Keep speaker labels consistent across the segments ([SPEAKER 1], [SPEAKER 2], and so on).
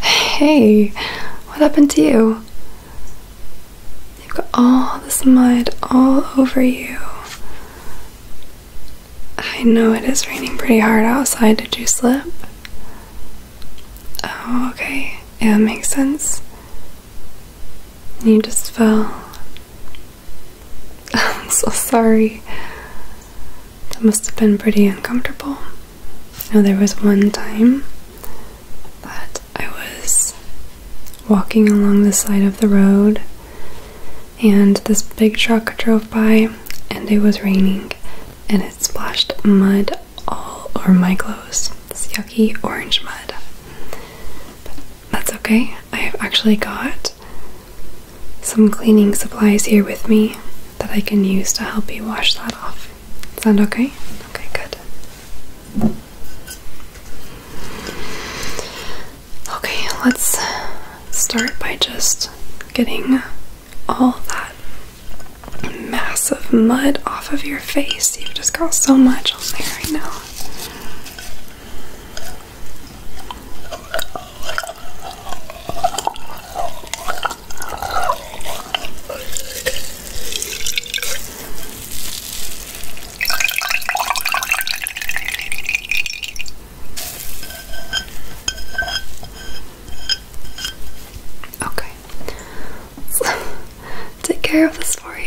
[SPEAKER 1] Hey, what happened to you? You've got all this mud all over you. I know it is raining pretty hard outside. Did you slip? Oh, okay. Yeah, that makes sense. You just fell. I'm so sorry. That must have been pretty uncomfortable. Now there was one time that I was walking along the side of the road and this big truck drove by and it was raining and it splashed mud all over my clothes. This yucky orange mud. But that's okay. I have actually got some cleaning supplies here with me that I can use to help you wash that off. Sound okay? Okay, good. Okay, let's start by just getting all that mass of mud off of your face. You've just got so much on there right now. Okay. take care of this for you.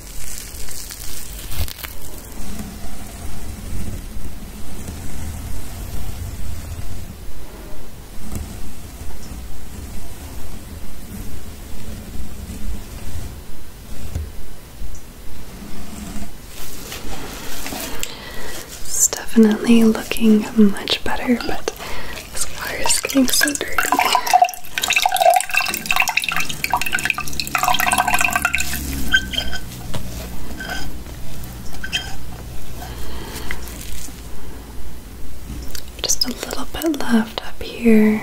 [SPEAKER 1] It's definitely looking much better, but his car is getting so dirty. Just a little bit left up here.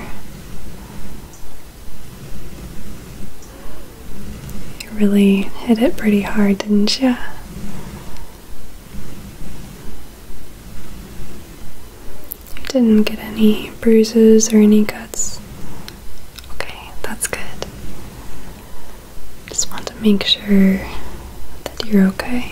[SPEAKER 1] You really hit it pretty hard, didn't you? You didn't get any bruises or any cuts. Okay, that's good. Just want to make sure that you're okay.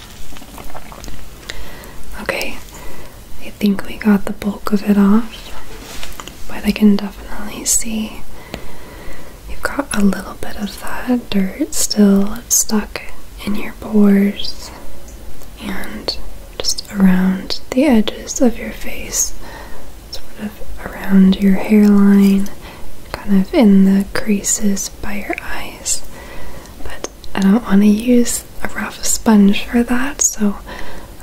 [SPEAKER 1] Okay, I think we got the bulk of it off, but I can definitely see you've got a little bit of that dirt still stuck in your pores and just around the edges of your face, sort of around your hairline, kind of in the creases by your eyes. But I don't want to use a rough sponge for that, so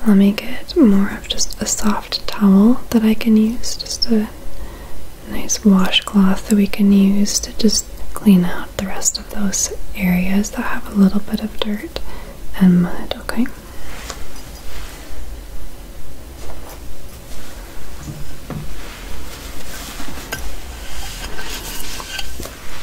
[SPEAKER 1] let me get more of just a soft towel that I can use, just a nice washcloth that we can use to just clean out the rest of those areas that have a little bit of dirt and mud, okay?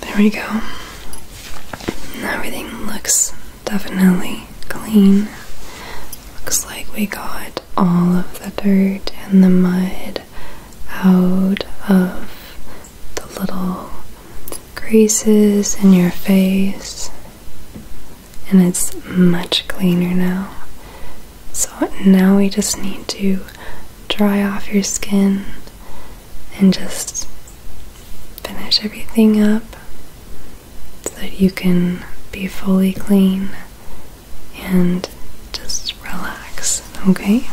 [SPEAKER 1] There we go. Everything looks definitely clean. Looks like we got all of the dirt and the mud out of the little creases in your face, and it's much cleaner now. So now we just need to dry off your skin and just finish everything up so that you can be fully clean and just relax, okay?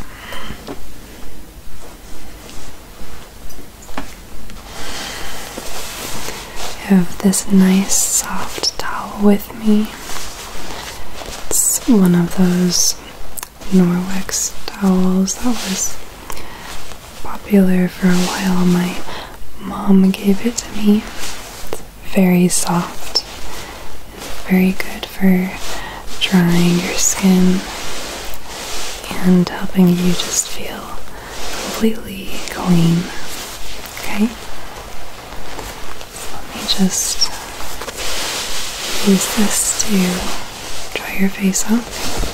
[SPEAKER 1] have this nice soft towel with me it's one of those Norwex towels that was popular for a while. My mom gave it to me. It's very soft, very good for drying your skin and helping you just feel completely clean. Okay? Let me just use this to dry your face off.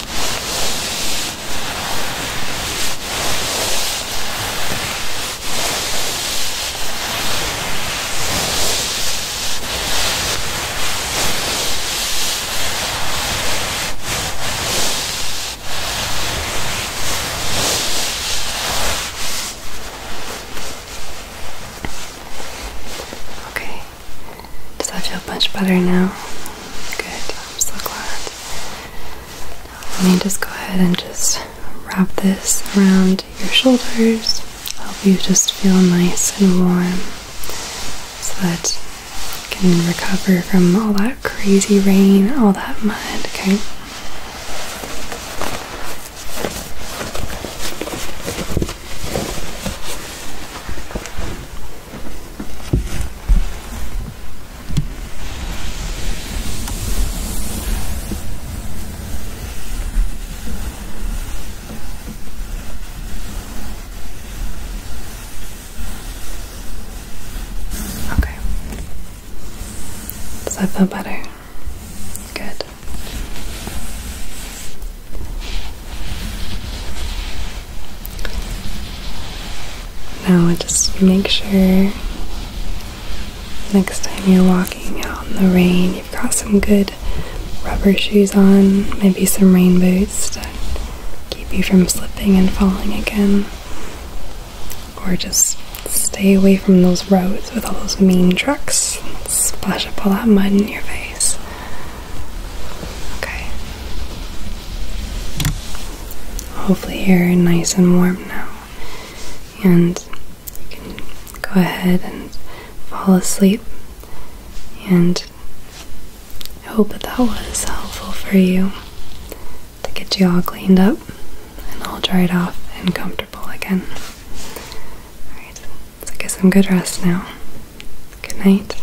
[SPEAKER 1] Okay. Does that feel much better now? Good. I'm so glad. Let me just go ahead and just wrap this around your shoulders. Help you just feel nice and warm so that you can recover from all that crazy rain, all that mud, okay? Okay. Does that feel better? Good. Now, just make sure next time you're walking out in the rain, you've got some good rubber shoes on, maybe some rain boots to keep you from slipping and falling again. Or just stay away from those roads with all those mean trucks. Splash up all that mud in your face. Okay. Hopefully, you're nice and warm now, and you can go ahead and fall asleep. And I hope that that was helpful for you to get you all cleaned up and all dried off and comfortable again. Alright, so get some good rest now. Good night.